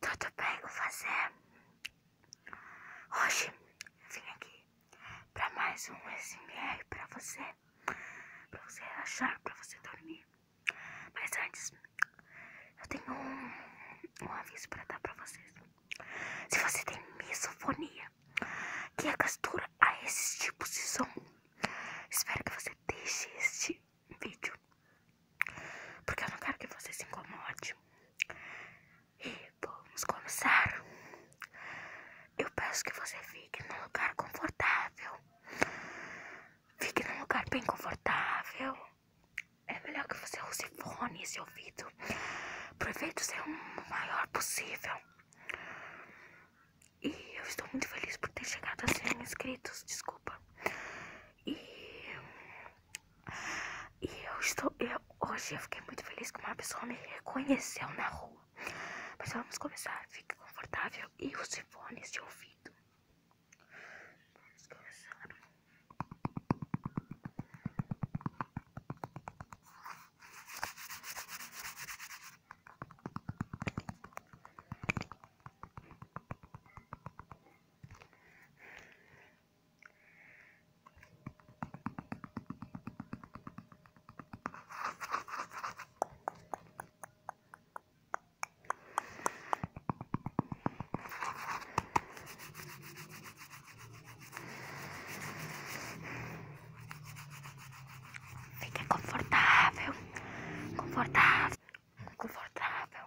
Tudo bem com você? Hoje eu vim aqui para mais um SMR para você, para você relaxar, para você dormir. Mas antes, eu tenho um, aviso para dar para vocês. Se você tem misofonia, que é a a esses tipos de som, espero que você deixe este vídeo. Porque eu não quero que você se incomode. E vamos começar. Eu peço que você fique num lugar confortável. Fique num lugar bem confortável. É melhor que você use fones e ouvido. Pro efeito ser o maior possível. E eu estou muito feliz por ter chegado a 100 inscritos. Desculpa. E, eu estou. Eu, hoje eu fiquei muito feliz que uma pessoa me reconheceu na rua. Mas vamos começar. Fique confortável e os fones de ouvido. Vamos começar. Fica confortável, confortável confortável.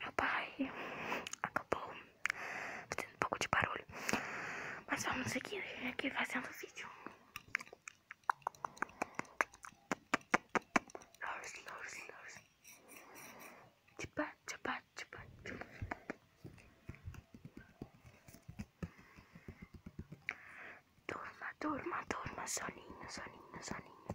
meu pai acabou fazendo um pouco de barulho. Mas vamos seguir aqui fazendo o vídeo. Lors, lors, lors. Tchupá, tchupá, tchupá, tchupá. Turma, turma, turma, soninho, soninho, soninho.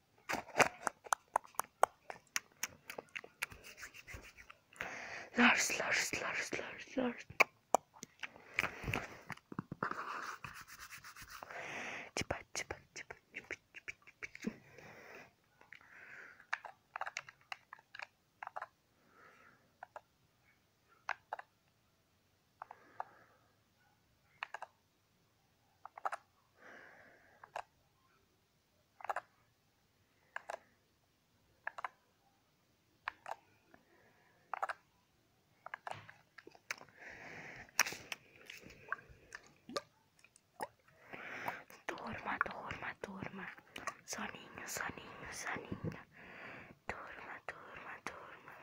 Lars, Lars, Lars, Lars, Lars. Çıpa, çıpa, çıpa, çıpa, çıpa, çıpa. Turma, turma, turma. Soninho, soninho, soninho. Turma, turma, turma.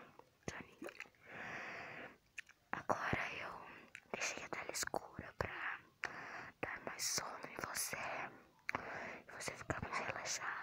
Soninho. Agora eu deixei a tela escura pra dar mais sono em você e você ficar mais relaxado.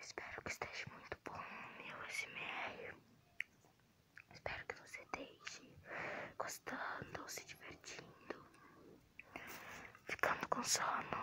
Espero que esteja muito bom meu SMR. Espero que você esteja gostando, se divertindo, ficando com sono.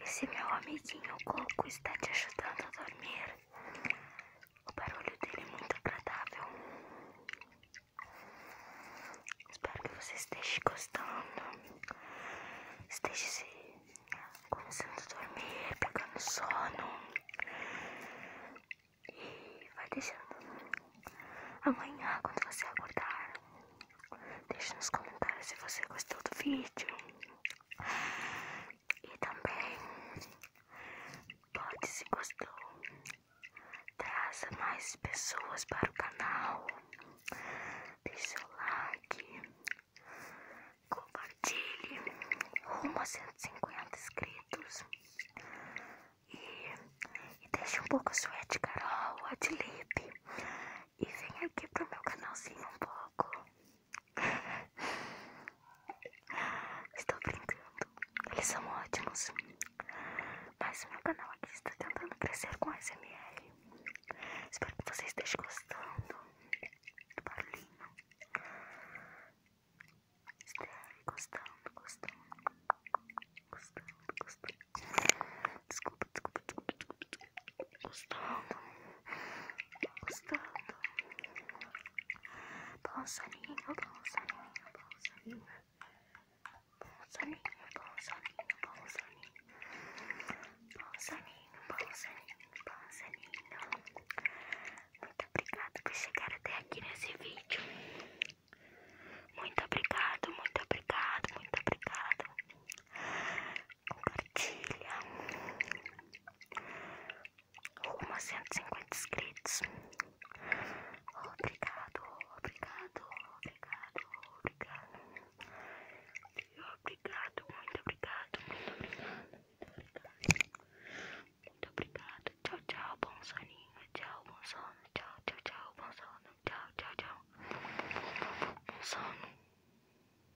esse meu amiguinho Coco está te ajudando a dormir, o barulho dele é muito agradável. Espero que você esteja gostando, esteja se começando a dormir, pegando sono e vai deixando. Amanhã, quando você acordar, deixe nos comentários se você gostou do vídeo. E também, pode se gostou, traça mais pessoas para o canal, deixe o like, compartilhe, rumo a 150 inscritos. E, deixe um pouco a sua de Carol, de Lipe, e vem aqui para o meu canalzinho um pouco. Estou brincando, eles são ótimos. Mas o meu canal aqui está tentando crescer com SMR. Espero que vocês estejam gostando do barulhinho. Esteve gostando, gostando, gostando, gostando. desculpa, desculpa, desculpa. Gostando. Gostando. Passarinho, passarinho, passarinho. Passarinho, passarinho, passarinho. Passarinho, passarinho, passarinho. Muito obrigada por chegar até aqui nesse vídeo. Muito obrigado, muito obrigado, muito obrigado. Compartilha cento e cinquenta inscritos. Obrigado, obrigado, obrigado, obrigado. Obrigado, muito obrigado, muito obrigado, muito obrigado. Tchau, tchau, bom soninho. Tchau, bom sono. Tchau, tchau, tchau, bom sono. Tchau, tchau, tchau. Bom sono.